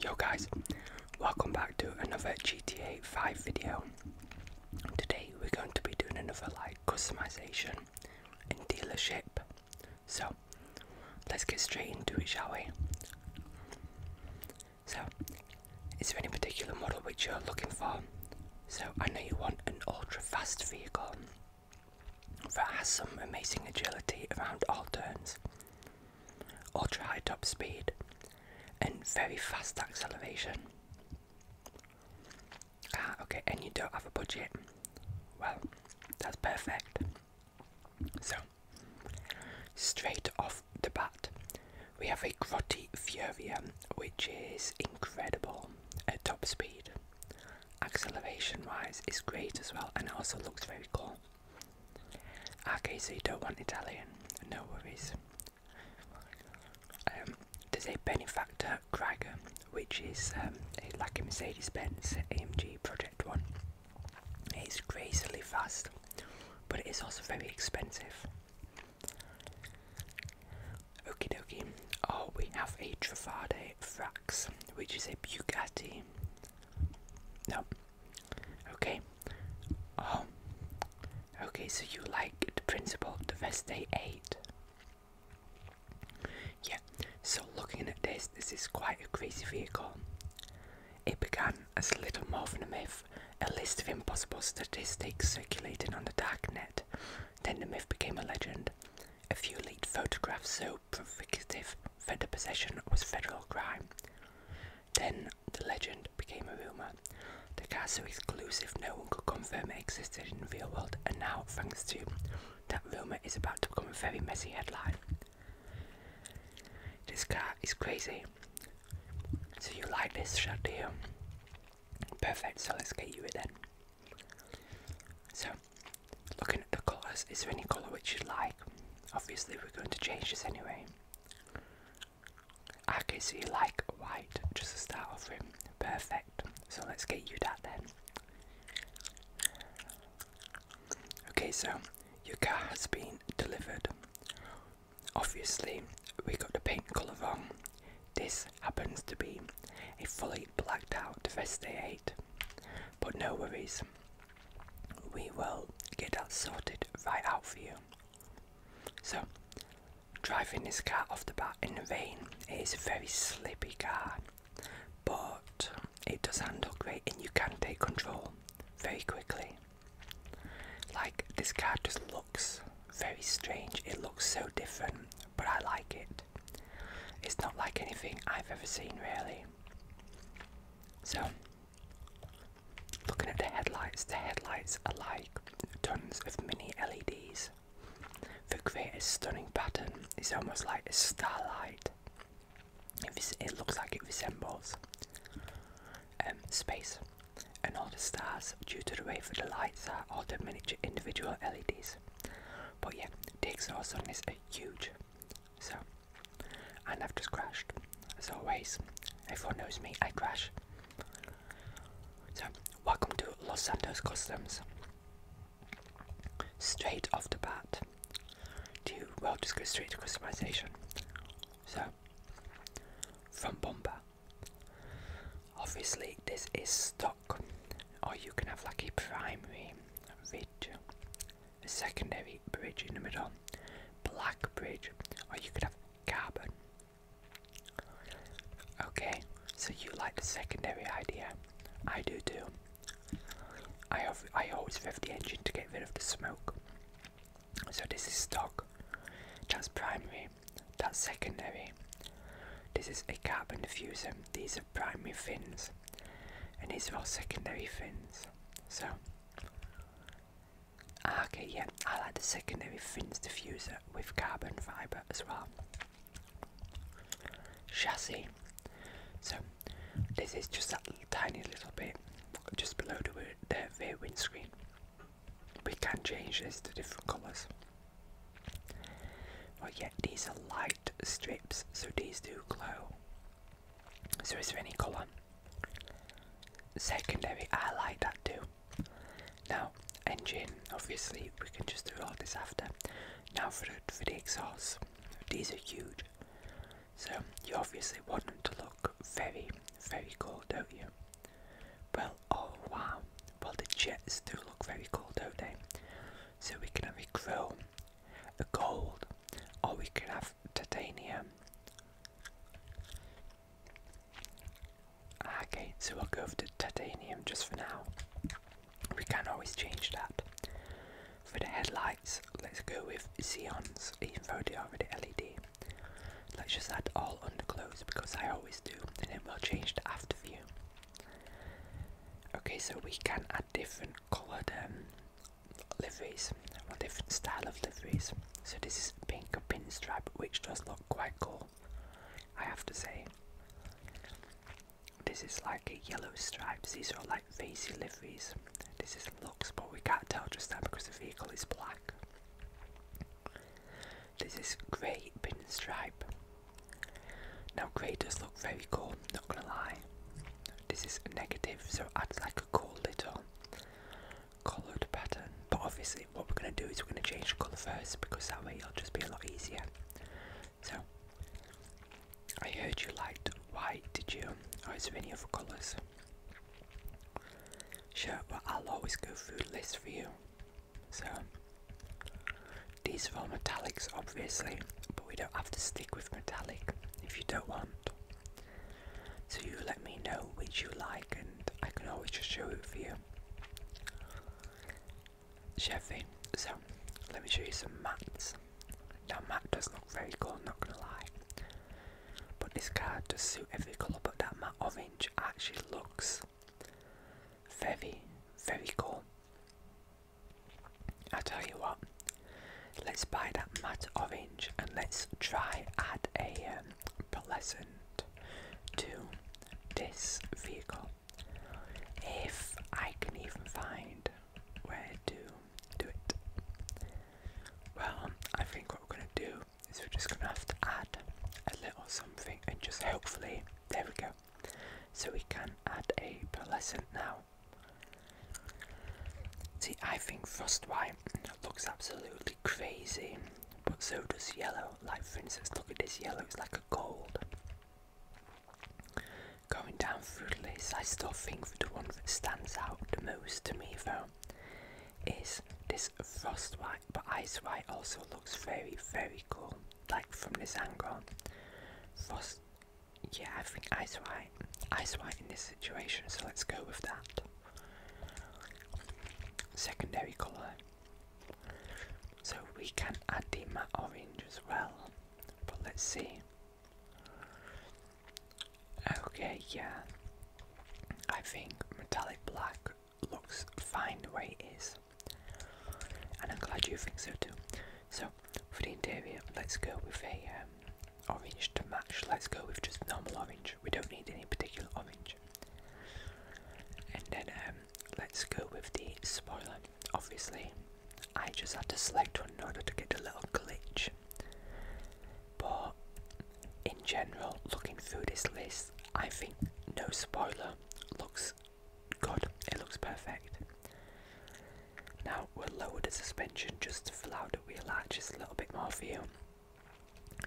Yo guys, welcome back to another GTA 5 video. Today we're going to be doing another like customization in dealership. So let's get straight into it shall we? So is there any particular model which you're looking for? So I know you want an ultra fast vehicle that has some amazing agility around all turns, ultra high top speed, and very fast acceleration. Ah, okay, and you don't have a budget. Well, that's perfect. So, straight off the bat, we have a Grotty Furia, which is incredible at top speed acceleration wise is great as well and also looks very cool. Okay, so you don't want Italian, no worries. Um, there's a benefactor Krager, which is um, a, like a Mercedes Benz AMG Project 1. It's crazily fast, but it is also very expensive. Okie dokie. Oh, we have a Travade Works, which is a Bugatti. No. Okay. Oh. Okay, so you like the principle the Veste 8. Yeah, so looking at this, this is quite a crazy vehicle. It began as a little more than a myth, a list of impossible statistics circulating on the dark net. Then the myth became a legend. A few leaked photographs so provocative federal possession was federal crime. Then the legend became a rumour. The car so exclusive no one could confirm it existed in the real world and now, thanks to that rumour is about to become a very messy headline. This car is crazy. So you like this shot do Perfect, so let's get you it then. So, looking at the colours, is there any colour which you like? Obviously, we're going to change this anyway. Okay, so you like white, just to start off with. Perfect. So let's get you that then. Okay, so your car has been delivered. Obviously, we got the paint colour wrong. This happens to be a fully blacked out Veste but no worries, we will get that sorted right out for you. So, driving this car off the bat in the rain is a very slippy car, but it does handle great and you can take control very quickly. Like, this car just looks very strange, it looks so different, but I like it. It's not like anything I've ever seen, really. So, looking at the headlights, the headlights are like tons of mini LEDs. They create a stunning pattern. It's almost like a starlight. It, looks like it resembles um, space and all the stars due to the way that the lights are, all the miniature individual LEDs. But yeah, the exhaust on is huge. So, and I've just crashed. As always, everyone knows me, I crash. So, welcome to Los Santos Customs. Straight off the bat, do you, well, just go straight to customization. So, from Bomber. Obviously, this is stock or you can have like a primary bridge, a secondary bridge in the middle, black bridge, or you can have carbon. Okay, so you like the secondary idea? I do too. I I always rev the engine to get rid of the smoke. So this is stock. That's primary. That's secondary. This is a carbon diffuser. These primary fins and these are all secondary fins. So, ah, okay, yeah, I like the secondary fins diffuser with carbon fibre as well. Chassis. So, this is just that tiny little bit just below the, the rear windscreen. We can change this to different colours. Well, yeah, these are light strips, so these do glow. So, is there any colour? Secondary, I like that too. Now, engine, obviously, we can just do all this after. Now, for the, for the exhaust, these are huge. So, you obviously want them to look very, very cool, don't you? Well, oh wow, well, the Jets do look very cool, don't they? So we can have chrome, a gold, or we can have titanium. Ah, okay, so we'll go for the titanium just for now. We can always change that. For the headlights, let's go with Zeons even though they are already LED. Let's just add all under close because I always do, and then we'll change the after view. Okay, so we can add different coloured um, liveries, or different style of liveries. So this is pink pinstripe, which does look quite cool, I have to say. This is like a yellow stripes, these are like fancy liveries. This is looks, but we can't tell just that because the vehicle is black. This is grey pinstripe. Now grey does look very cool, not gonna lie. This is negative, so adds like a cool little coloured pattern. But obviously what we're gonna do is we're gonna change the colour first because that way it'll just be a lot easier. So I heard you liked white, did you? Or is there any other colours? Sure, but I'll always go through the list for you. So these are all metallics obviously, but we don't have to stick with metallic if you don't want. So you let me know which you like and I can always just show it for you. Chevy, so let me show you some mats. Now matte does look very cool, not gonna lie. But this card does suit every colour but that matte orange actually looks very, very cool. I tell you what, let's buy that matte orange and let's try add a um, pleasant to this vehicle. If I can even find where to do it. Well, I think what we're gonna do is we're just gonna have to add a little something and just hopefully there we go so we can add a pearlescent now. See, I think frost white looks absolutely crazy, but so does yellow. Like, for instance, look at this yellow, it's like a gold. Going down through the list, I still think the one that stands out the most to me, though, is this frost white, but ice white also looks very, very cool like from this angle. Frost yeah, I think Ice White. Ice White in this situation, so let's go with that. Secondary colour. So we can add the matte orange as well. But let's see. Okay, yeah. I think metallic black looks fine the way it is. And I'm glad you think so too. So, for the interior, let's go with a um, orange to match. Let's go with just normal orange. We don't need any particular orange. And then um, let's go with the spoiler. Obviously, I just had to select one in order to get a little glitch. But in general, looking through this list, I think no spoiler looks good, it looks perfect. Now we'll lower the suspension just to fill out the wheel arches a little bit more for you.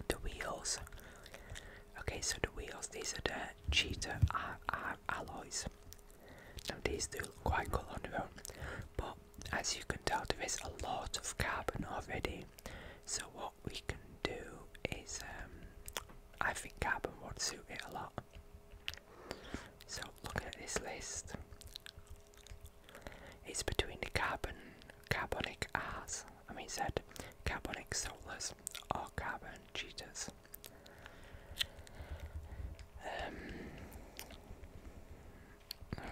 The wheels. Okay, so the wheels, these are the cheetah alloys. Now these do look quite cool on their own, but as you can tell there is a lot of carbon already. So what we can do is um, I think carbon would suit it a lot. So looking at this list, it's between the carbon, carbonic R's, I mean said, carbonic solars or carbon cheetahs. Um,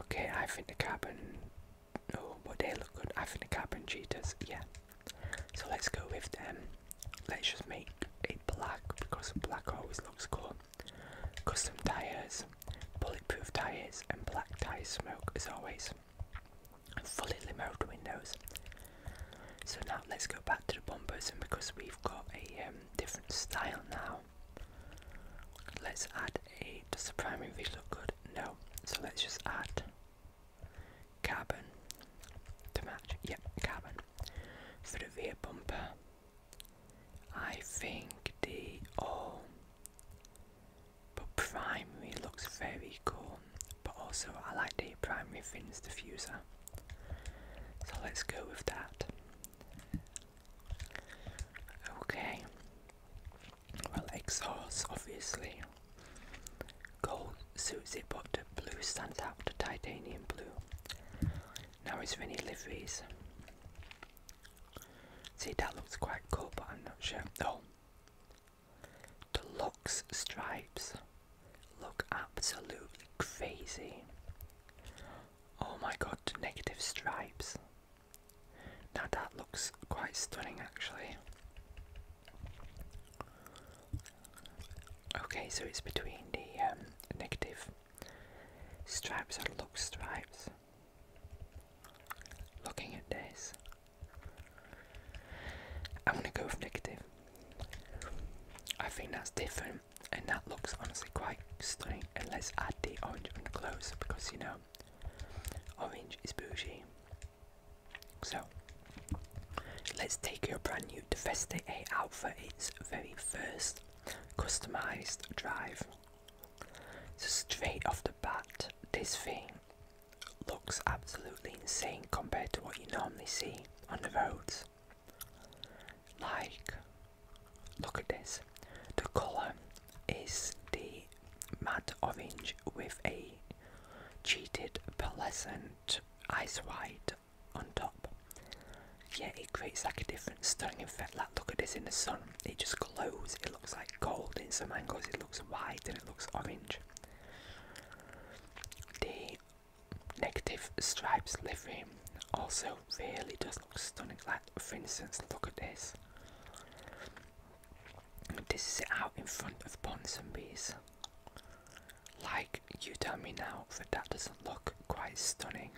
okay, I think the carbon. Oh, but they look good. I think the carbon cheetahs, yeah, so let's go with them. Let's just make a black because black always looks cool. Custom tires, bulletproof tires, and black tires smoke as always. Fully limoed windows. So now let's go back to the bumpers, and because we've got a um, different style now, let's add a. Does the primary V look good? No. So let's just add Carbon to match. Yep, carbon. For the rear bumper, I think the all but primary looks very cool. But also, I like the primary fins diffuser. So let's go with that. Okay well, exhaust obviously. Gold suits it, the blue stands out, the titanium blue. Now it's Rennie liveries. See, that looks quite cool, but I'm not sure. though. the Lux stripes look absolutely crazy. Oh my god, negative stripes. Now that looks quite stunning actually. Okay, so it's between the um, negative stripes and look stripes. Looking at this, I'm gonna go with negative. I think that's different, and that looks honestly quite stunning. And let's add the orange underglows because you know orange is bougie. So let's take your brand new Devesta out for its very first customized drive. So straight off the bat, this thing looks absolutely insane compared to what you normally see on the roads. Like, look at this. The colour is the mad orange with a cheated pearlescent ice white on top. Yeah, it creates like a different stunning effect. Like, look at this in the sun, it just glows. It looks like gold in some angles, it looks white and it looks orange. The negative stripes livery also really does look stunning. Like, for instance, look at this. This is out in front of bees, Like, you tell me now that that doesn't look quite stunning.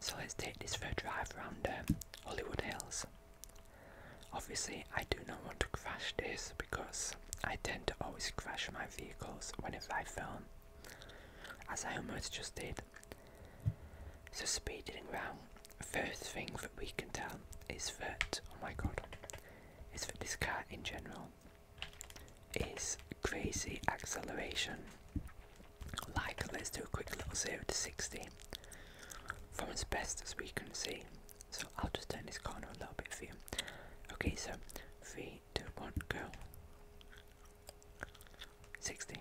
So let's take this for a drive around Hollywood Hills. Obviously, I do not want to crash this because I tend to always crash my vehicles whenever I film, as I almost just did. So speeding around first thing that we can tell is that oh my god, is that this car in general is crazy acceleration. Like let's do a quick little zero to sixty from as best as we can see. So I'll just turn this corner a little bit for you. Okay, so three, two, one, go. Sixty.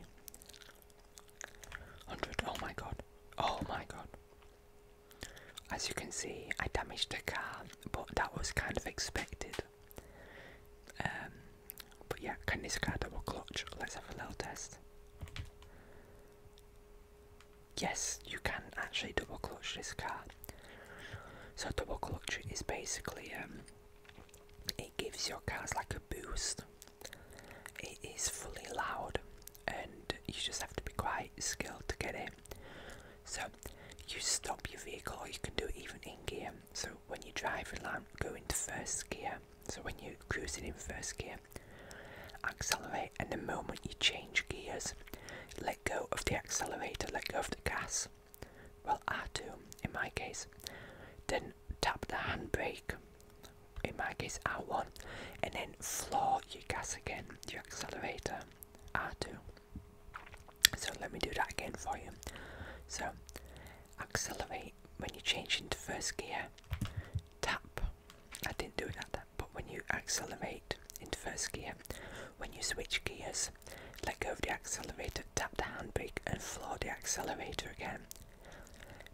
100. Oh my god. Oh my god. As you can see, I damaged the car, but that was kind of expected. Um, but yeah, can this car double clutch? Let's have a little test. Yes, you can actually double clutch this car. So double clutch is basically um, it gives your cars like a boost. It is fully loud, and you just have to be quite skilled to get it. So, you stop your vehicle, or you can do it even in gear. So, when you drive along, go into first gear. So, when you're cruising in first gear, accelerate, and the moment you change gears, let go of the accelerator, let go of the gas. Well, I do in my case. Then tap the handbrake in my case R1 and then floor your gas again, your accelerator R2. So let me do that again for you. So accelerate when you change into first gear, tap. I didn't do it like that, but when you accelerate into first gear, when you switch gears, let go of the accelerator, tap the handbrake and floor the accelerator again.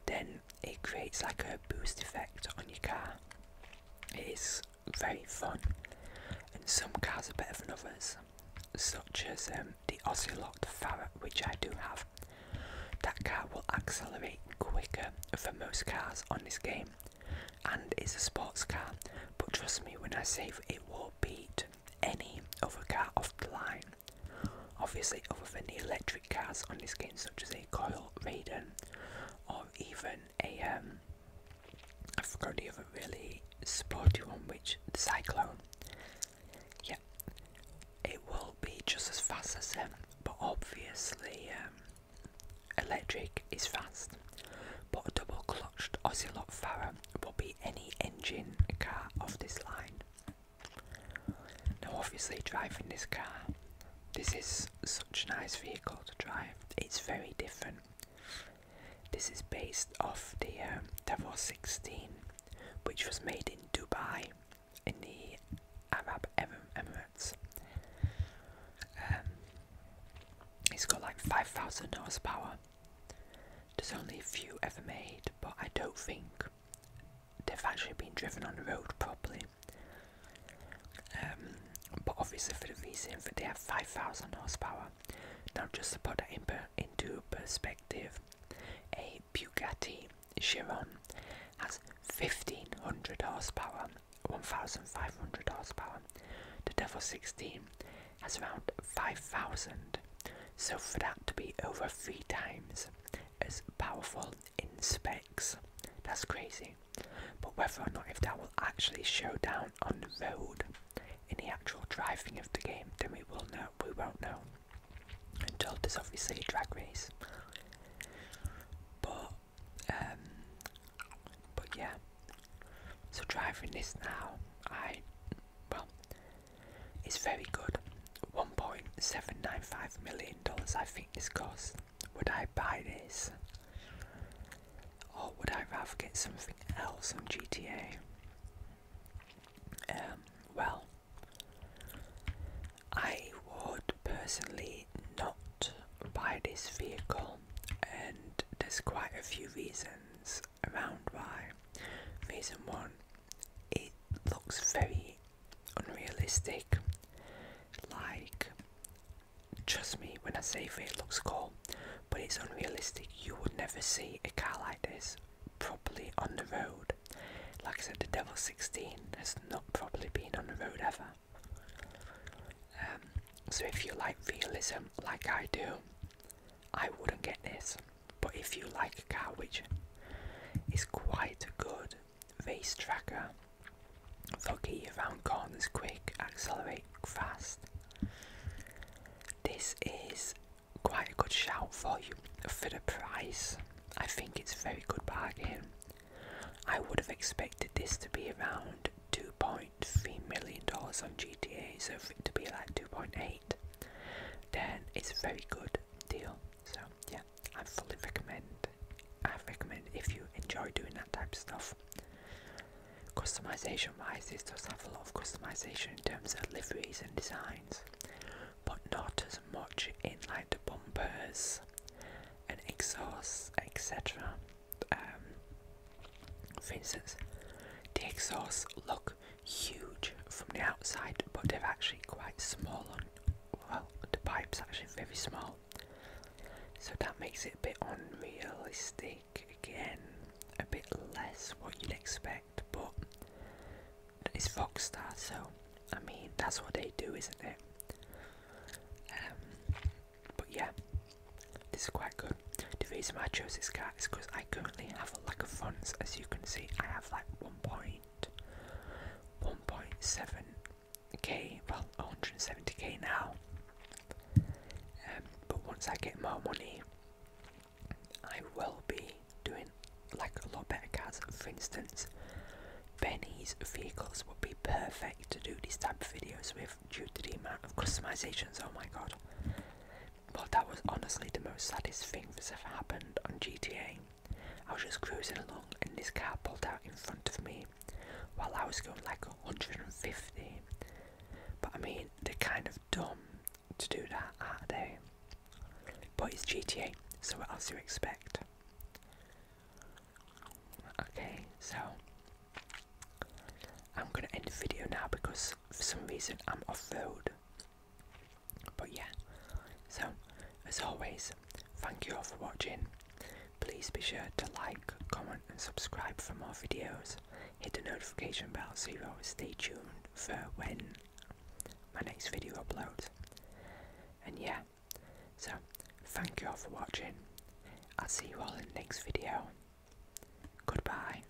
Then it creates like a boost effect on your car. It is very fun, and some cars are better than others, such as um, the Ocelot Ferret, which I do have. That car will accelerate quicker than most cars on this game, and it's a sports car. But trust me when I say it will beat any other car off the line. Obviously, other than the electric cars on this game, such as a Coil Raiden or even a I um, I forgot the other really sporty one, which the Cyclone. Yeah, it will be just as fast as them, but obviously um, electric is fast. But a double clutched Ocelot Farah will be any engine car of this line. Now, obviously, driving this car, this is such a nice vehicle to drive. It's very different. This is based off the um, 16, which was made in Dubai, in the Arab Emirates. Um, it's got like 5,000 horsepower. There's only a few ever made, but I don't think they've actually been driven on the road properly. Um, but obviously for the reason that they have 5,000 horsepower. Now just to put that in per into perspective, a Bugatti Chiron has 1,500 horsepower, 1,500 horsepower. The Devil 16 has around 5,000. So for that to be over three times is as powerful in specs. That's crazy. But whether or not if that will actually show down on the road in the actual driving of the game, then we will know we won't know. Until this obviously a drag race. But um but yeah. So driving this now, I well, it's very good. $1.795 million, I think this cost. Would I buy this? Or would I rather get something else on GTA? Um, well, I would personally not buy this vehicle, and there's quite a few reasons around why. Reason one, it looks very unrealistic. Like, trust me when I say it looks cool, but it's unrealistic. You would never see a car like this properly on the road. Like I said, the Devil 16 has not properly been on the road ever. Um, so if you like realism like I do, I wouldn't get this. But if you like a car which is quite a good race tracker, foggy around corners quick, accelerate fast, this is quite a good shout for you for the price. I think it's a very good bargain. I would have expected this to be around $2.3 million on GTA, so for it to be like 2.8 then it's a very good deal. So yeah, I fully recommend. I recommend if you enjoy doing that type of stuff. Customization wise, this does have a lot of customization in terms of liveries and designs, but not as much in like the bumpers and exhausts, etc. Um, for instance, the exhaust look huge from the outside, but they're actually quite small on well, the pipe's actually very small. So that makes it a bit unrealistic again, a bit less what you'd expect, but it's Foxstar, so I mean that's what they do, isn't it? Um, but yeah, this is quite good. The reason I chose this card is because I currently have a lack of funds. As you can see, I have like one point. 1.7k, well 170k now. Um, but once I get more money, I will be doing like a lot better cars. For instance, Benny's vehicles would be perfect to do these type of videos with due to the amount of customizations. Oh my god, but that was honestly the most saddest thing that's ever happened on GTA. I was just cruising along and this car pulled out in front of me while I was going like 150. But I mean, they're kind of dumb to do that, aren't they? But it's GTA, so what else do you expect? Okay, so I'm gonna end the video now because for some reason I'm off road but yeah, so as always, thank you all for watching. Please be sure to like, comment, and subscribe for more videos. Hit the notification bell so you always stay tuned for when my next video uploads. And yeah, so thank you all for watching. I'll see you all in the next video. Goodbye.